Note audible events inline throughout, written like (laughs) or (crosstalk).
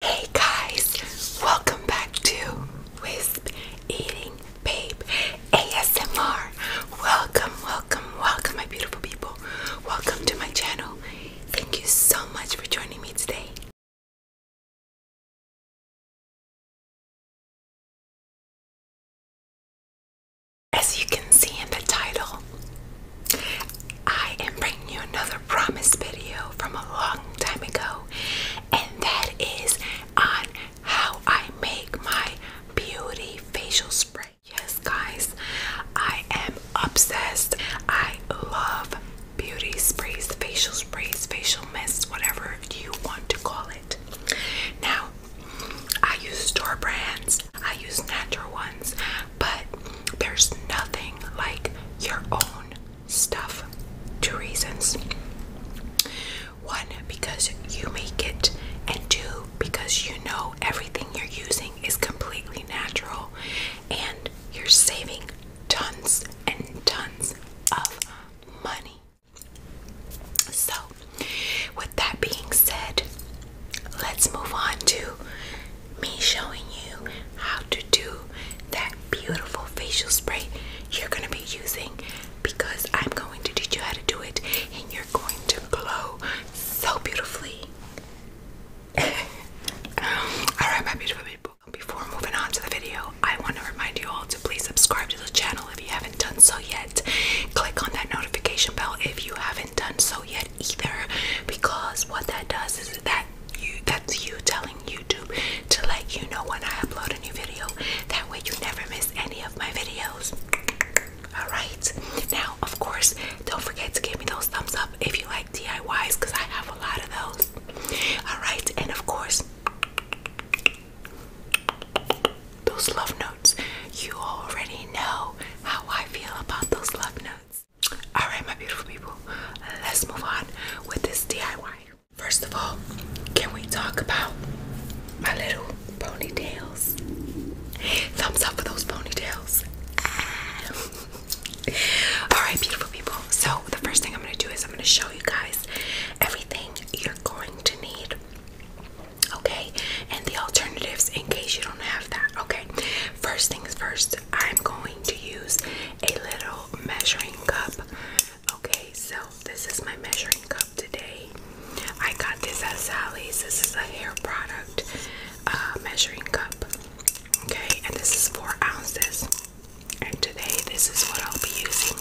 Hey guys, welcome back to Wisp Eating Babe ASMR. Welcome, welcome, welcome, my beautiful people. Welcome to my channel. Thank you so much for joining me today. As you can see in the title, I am bringing you another promise video from a long time ago, and that is on how I make my beauty facial spray. Yes, guys, I am obsessed. I love beauty sprays, facial sprays, facial mists, whatever you want to call it. Now, I use store brands, I use natural ones, but there's nothing like your own stuff. Two reasons. One, because you make it, and two, because you know everything you're using is completely natural and you're saving tons and tons of money. So, with that being said, let's move on to me showing you how to do that beautiful facial spray you're going to be using because I'm going to teach you how to do it and you're going to glow so beautifully. (laughs) Um, Alright, my beautiful people. Before moving on to the video, I want to remind you all to please subscribe to the channel if you haven't done so yet. Click on that notification bell if you haven't done so yet either, because what that does is that that's you telling YouTube to let you know when I upload a new video. That way you never miss any of my videos. Alright. Now of course don't forget to give me those thumbs up if you like DIYs because I have a lot of those. Alright, and of course those love notes. You already know how I feel about those love notes. Alright, my beautiful people, let's move on with this DIY. First of all, can we talk about my little ponytails? Thumbs up for those ponytails. Ah. (laughs) Alright, beautiful people. So, the first thing I'm going to do is I'm going to show you guys everything you're going to need. Okay, and the alternatives in case you don't have that. Okay, first things first, I'm going to use a little measuring cup. Okay, so this is my measuring cup today. I got this at Sally's. This is a hair product uh, measuring cup. Okay, and this is four ounces. And today, this is what I'll be using.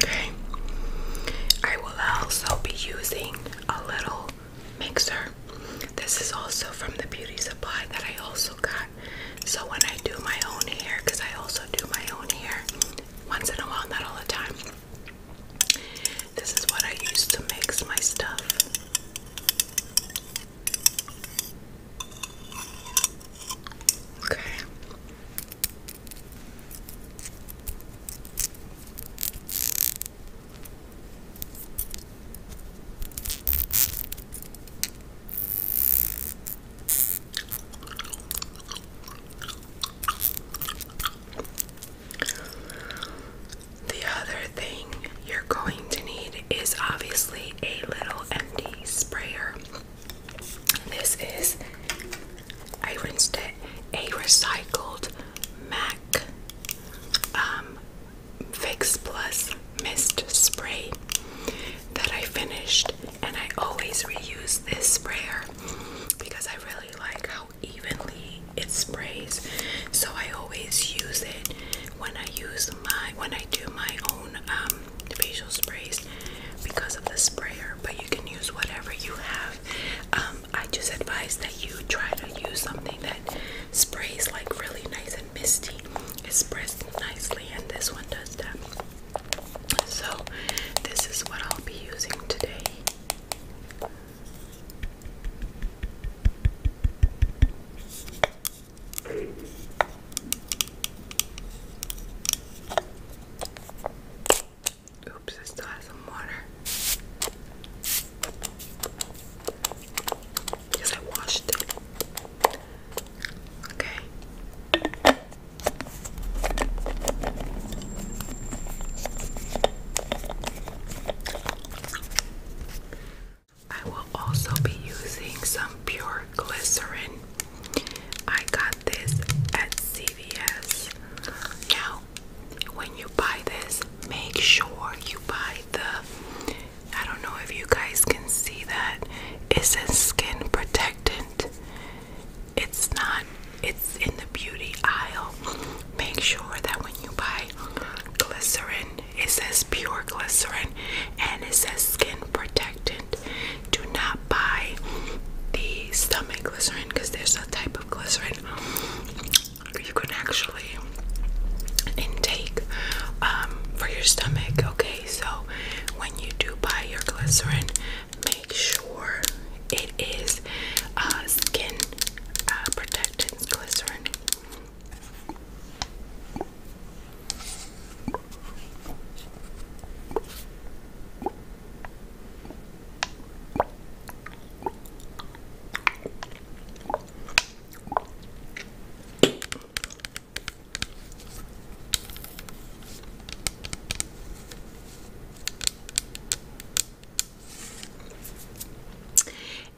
Okay, I will also be using a little mixer. This is also from the beauty supply that I also got. So when I do my own hair, because I also do my own hair once in a while, not all the time. This is what I use to mix my stuff. Okay. The other thing you're going to need is obviously a little empty sprayer. This is, I rinsed it, a recycled MAC um, Fix Plus mist spray that I finished, and I always reuse this sprayer because I really like how evenly it sprays. So I always use it when I use my when I do my own um, facial sprays because of the sprayer. But you can use whatever you have. Um, I just advise that you try to use something that sprays like really nice and misty. It sprays nicely, and this one does that. So, this is what I'll be using today. Oops, I still have some water. Because I washed it. Okay. I will also be using some pure glycerin. I got this at CVS. Now, when you buy this, make sure you buy the I don't know if you guys can see that it says skin protectant. It's not it's in the beauty aisle. Make sure that when you buy glycerin, it says pure glycerin and it says skin protectant. Do not buy the stomach glycerin because there's a type of glycerin you can actually intake um, for your stomach. Okay, so when you do buy your glycerin, make sure it is uh, skin uh, protectant glycerin.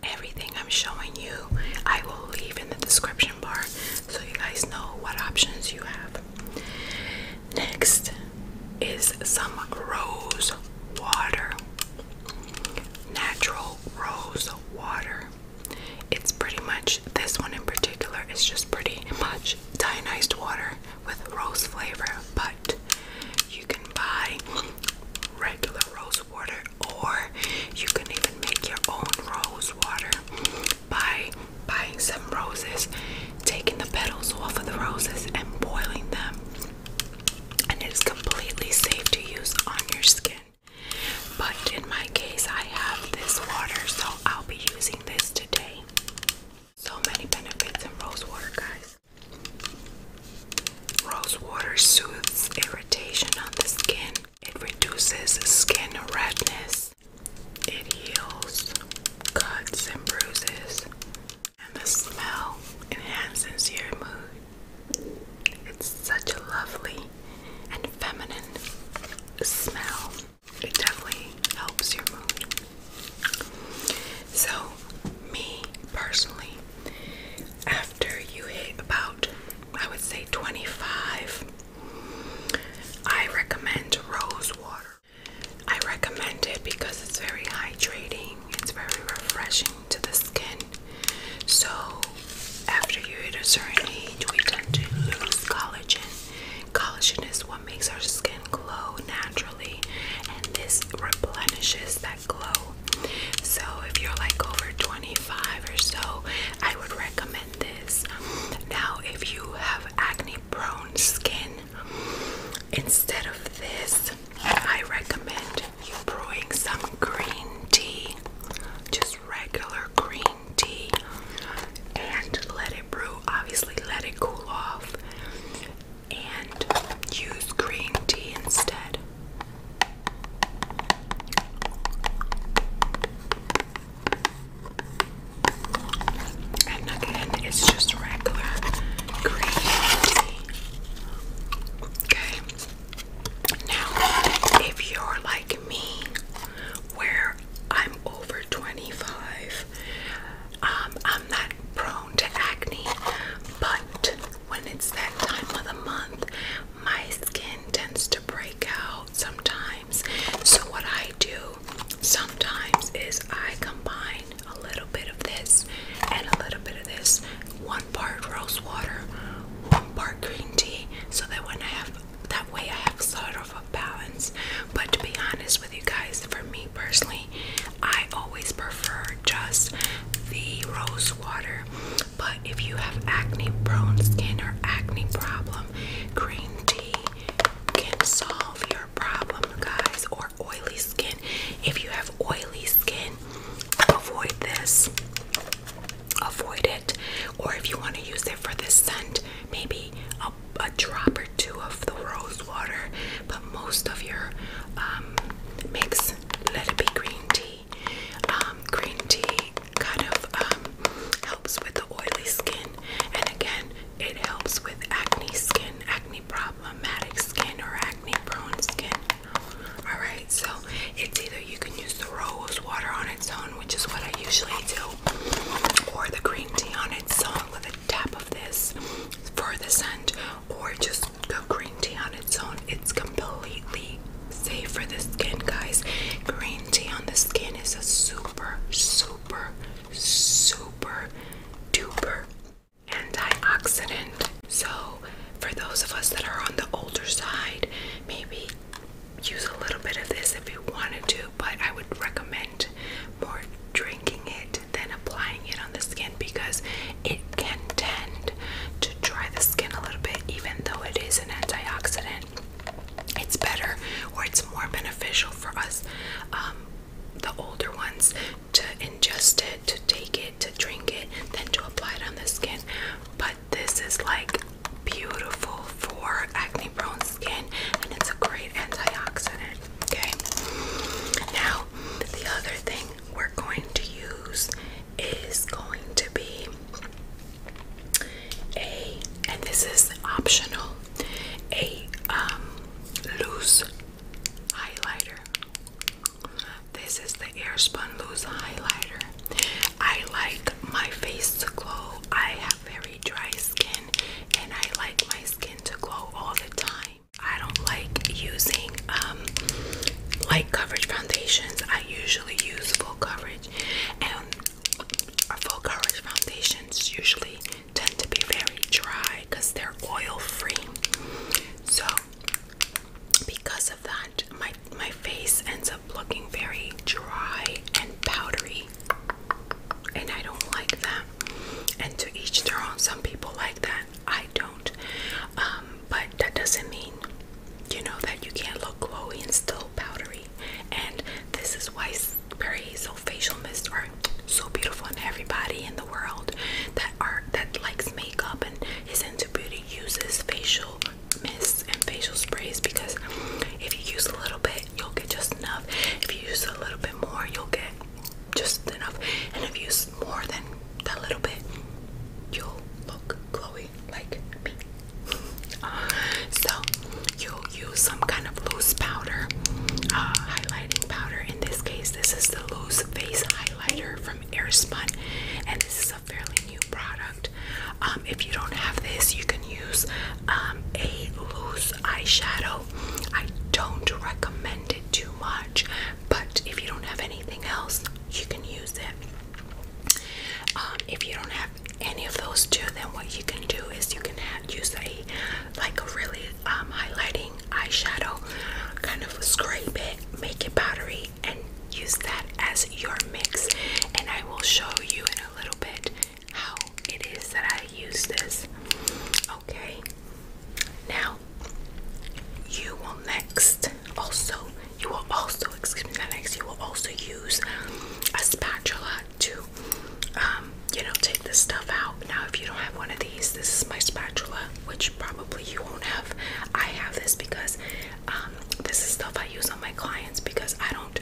Everything I'm showing you, I will leave in the description bar so you guys know what options you have. Next is some rose water natural rose water. It's pretty much this one in particular is just pretty much dionyzed water with rose flavor, but you can buy regular rose water or you can even make your own rose water by buying some roses, taking the petals off of the roses and boiling them and it's completely safe to use on your skin. But in my case, I have this water, so I'll be using this today. So many benefits in rose water, guys. Rose water soothes irritation on the skin, it reduces skin redness, it heals cuts and bruises, and the smell enhances your mood. It's such a lovely and feminine smell. It definitely helps your mood. So, me personally, after you hit about, I would say 25, I recommend rose water. I recommend it because it's very hydrating, it's very refreshing to the skin. So, after you hit a certain age, we tend to lose collagen. Collagen is what makes our skin glow naturally, and this replenishes that glow. So, if you're like over 25 or so, I would recommend this. Now, if you have acne prone skin, instead of this, I recommend you brewing some green tea, just regular green tea, and let it brew. Obviously, let it cool off and use green tea instead. And again, it's just regular green tea. Okay. Now, if you're like me, where I'm over 25, um, I'm not prone to acne, but when it's that time of the month, my skin tends to break out sometimes. So, what I do sometimes is I combine a little bit of this and a little bit of this. One part rose water, one part green tea, so that when I have that way I have sort of a balance. But to be honest with you guys, for me personally, I always prefer just the rose water. But if you have acne prone skin or acne problem, green tea can solve your problem, guys, or oily skin. If you have oily skin, avoid this. Avoid it. Or if you want to use it for the scent, maybe a, drop or two of the rose water. But most of your um, mix, let it be green tea. Um, green tea kind of um, helps with the oily skin. And again, it helps with acne skin, acne problematic skin, or acne prone skin. Alright, so it's either you can use the rose water on its own, which is what I usually do, or the green tea on its own with a tap of this for the scent, or just the green tea on its own. It's completely safe for the skin, guys. Green tea on the skin is a super, super, super duper antioxidant. So, for those of us that are on the older side, maybe use a little bit of this if you wanted to, but I would recommend more drinking it than applying it on the skin because it can tend to dry the skin a little bit, even though it is an antioxidant. It's better or it's more beneficial for us um, the older ones to ingest it, to take it, to drink it, then to apply it on the skin. But this is like beautiful for acne prone skin and it's a great antioxidant. Okay, now the other thing we're going to use is going to be a and this is optional a um loose highlighter. This is the Airspun Loose highlighter. I like my face to glow. I have very dry skin and I like my skin to glow all the time. I don't like using um, light coverage foundations. I usually use full coverage and full coverage foundations usually tend to be very dry because they're oil free. So because of that, my my face ends up looking very dry and powdery. And I don't like that. And to each their own, some people like that. I don't. Um, but that doesn't mean, you know, that you can't look glowy and still powdery. And this is why Perry Hazel facial mist or so beautiful and everybody in the world that are that likes makeup and is into beauty uses facial mists and facial sprays because if you use a little bit you'll get just enough if you use a little bit more you'll get just enough and if you use more than that little bit you'll look glowy like me (laughs) so you use some kind of loose powder uh, highlighting powder in this case, this is the loose face highlighter from Airspun, and this is a fairly new product. Um, if you don't have this, you can use um, a loose eyeshadow. I don't recommend it too much, but if you don't have anything else, you can use it. Um, if you don't have any of those two, then what you can do is you can use a like a really um, highlighting eyeshadow, kind of scrape it, make it powdery, and use that as your mix. And I will show you in a little bit how it is that I use this. Okay, now you will next also, you will also, excuse me, next, you will also use a spatula to um, you know, take this stuff out. Now, if you don't have one of these, this is my spatula, which probably you won't have. I have this because um, this is stuff I use on my clients because I don't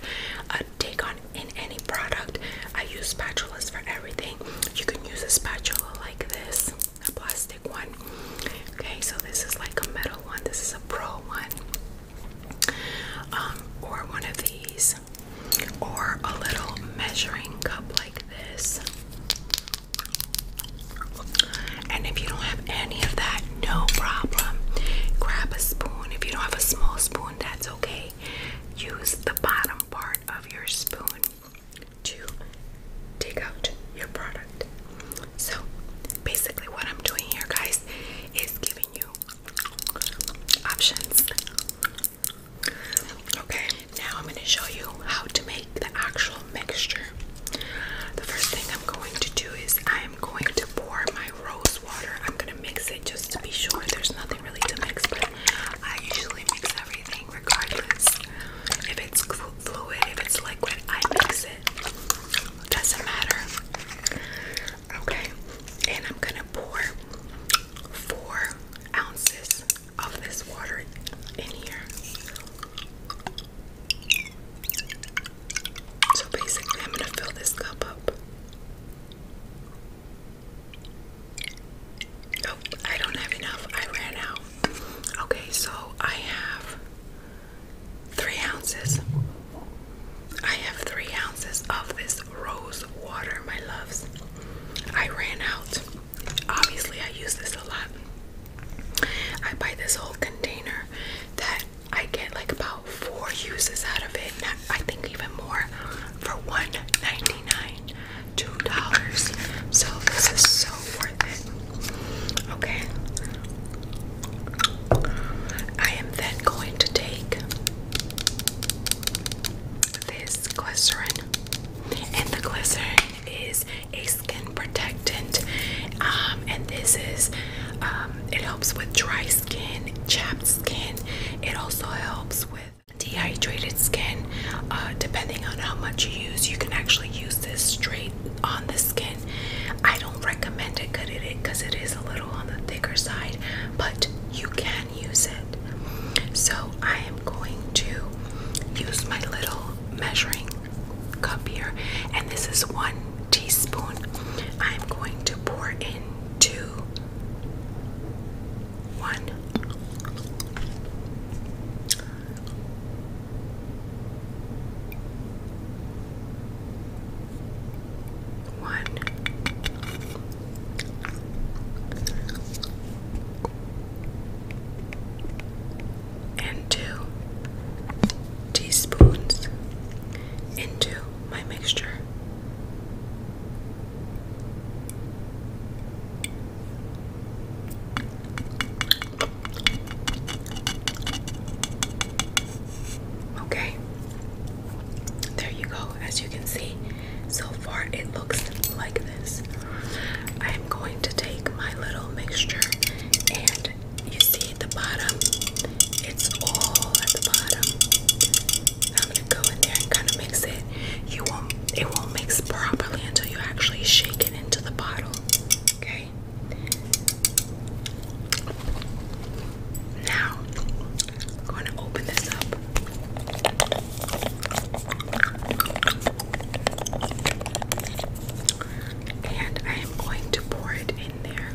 uh, take on in any product. I use spatulas for everything. You can use a spatula like this, a plastic one. Okay, so this is like a metal one. This is a pro one. Um, or one of these or a little measuring cup like this. And if you don't have any of that, no problem. Grab a spoon. If you don't have a small spoon, that's okay. Use the bottom part of your spoon to take out your product. So, basically, what I'm doing here, guys, is giving you options Okay, now I'm going to show you how to make the actual mixture. The first thing I'm going to do is I am going to pour my rose water. I'm going to mix it just to be sure. There's nothing really to mix, but I usually mix everything regardless. If it's fluid, if it's liquid, I mix it. Doesn't matter. Okay, and I'm going to pour four ounces of this water in here. So basically, I'm going to fill this cup up. Oh, I don't have enough. I ran out. Okay, so I have three ounces. I have three ounces of this rose water, my loves. I ran out. Obviously, I use this a lot. I buy this whole container that I get like about four uses out of it. I think even more for $1.99, $2. So this is so worth it. Okay. I am then going to take this glycerin, and the glycerin is a skin protectant. Um, and this is um, it helps with dry skin, chapped skin. It also helps with dehydrated skin. Uh, depending on how much you use, you can actually use this straight on the skin. I don't recommend it because it is a little on the thicker side, but you can use it. So I am going to use my little measuring cup here, and this is one teaspoon. I am going to pour in two, one, one, and two teaspoons into my mixture. Okay, there you go. As you can see, so far, it looks like this. I'm going to take my little mixture, and you see at the bottom, it's all at the bottom. I'm gonna go in there and kind of mix it. You won't, it won't mix properly until you actually shake it into the bottle. Okay. Now, I'm going to open this up. And I am going to pour it in there.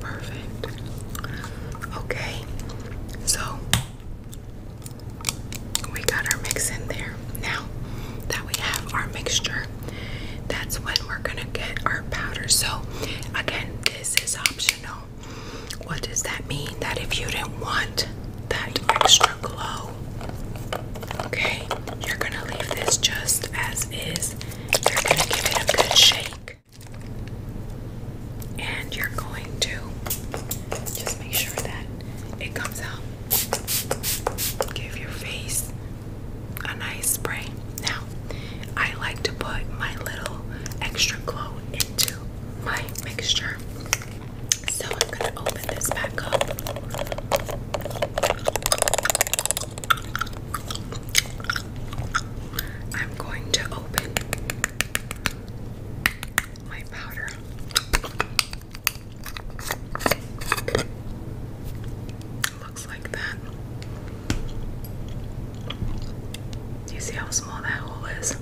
Perfect. Okay, so we got our mix in there. Now that we have our mixture, that's when we're gonna get our powder. So, again, this is optional. What does that mean? That if you didn't want that extra glow, okay, you're gonna leave this just as is. You're going to give it a good shake. And you're going to just make sure that it comes out. Give your face a nice spray. Now, I like to put my little extra glow into my mixture. So I'm going to open this back up. I'm going to open my powder. Looks like that. you see how small that hole is?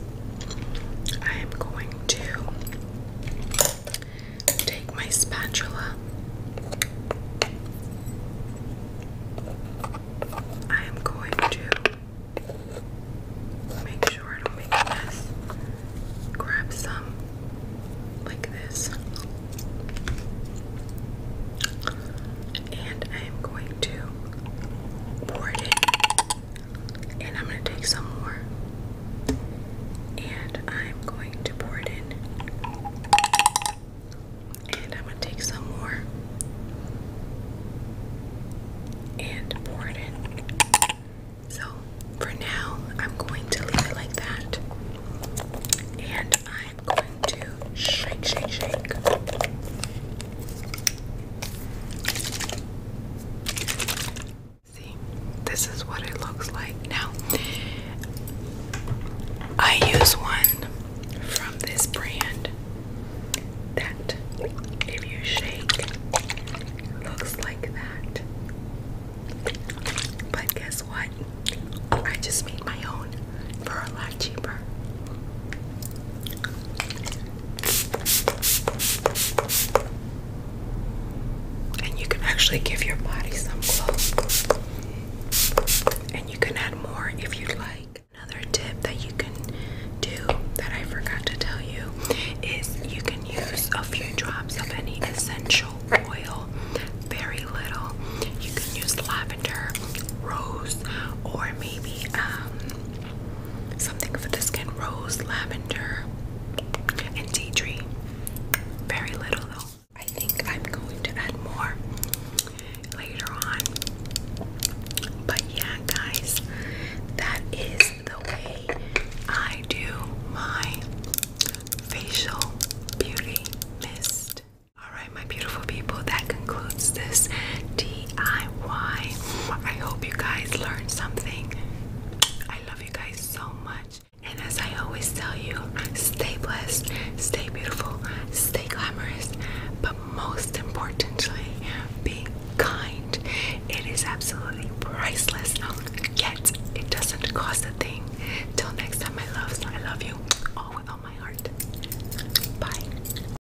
I am going to take my spatula I am going to make sure I don't make a mess. Grab some like this. And I am going to pour it in. And I'm going to take some more. And I'm going to pour it in. And I'm going to take some more and pour it in. So for now, I'm going to leave it like that. And I'm going to shake, shake, shake. See, this is what it looks like. Now, I use one from this brand that, if you shake, looks like that. But guess what? I just made my own for a lot cheaper. And you can actually give your body some glow. And you can add more if you'd like. Another tip that you can do that I forgot to tell you is you can use a few drops of any essential oil, very little. You can use lavender, rose, or maybe um, something for the skin rose, lavender, and tea tree. Very little though. I think I'm going to add more later on. But yeah, guys, that is the way I do my facial beauty mist. Alright, my beautiful people, that concludes this DIY. I hope you guys learned something. I love you guys so much. And as I always tell you, stay blessed, stay beautiful, stay glamorous, but most importantly, be kind. It is absolutely priceless. Yet it doesn't cost a thing. Till next time, my loves, I love you all with all my heart. Bye.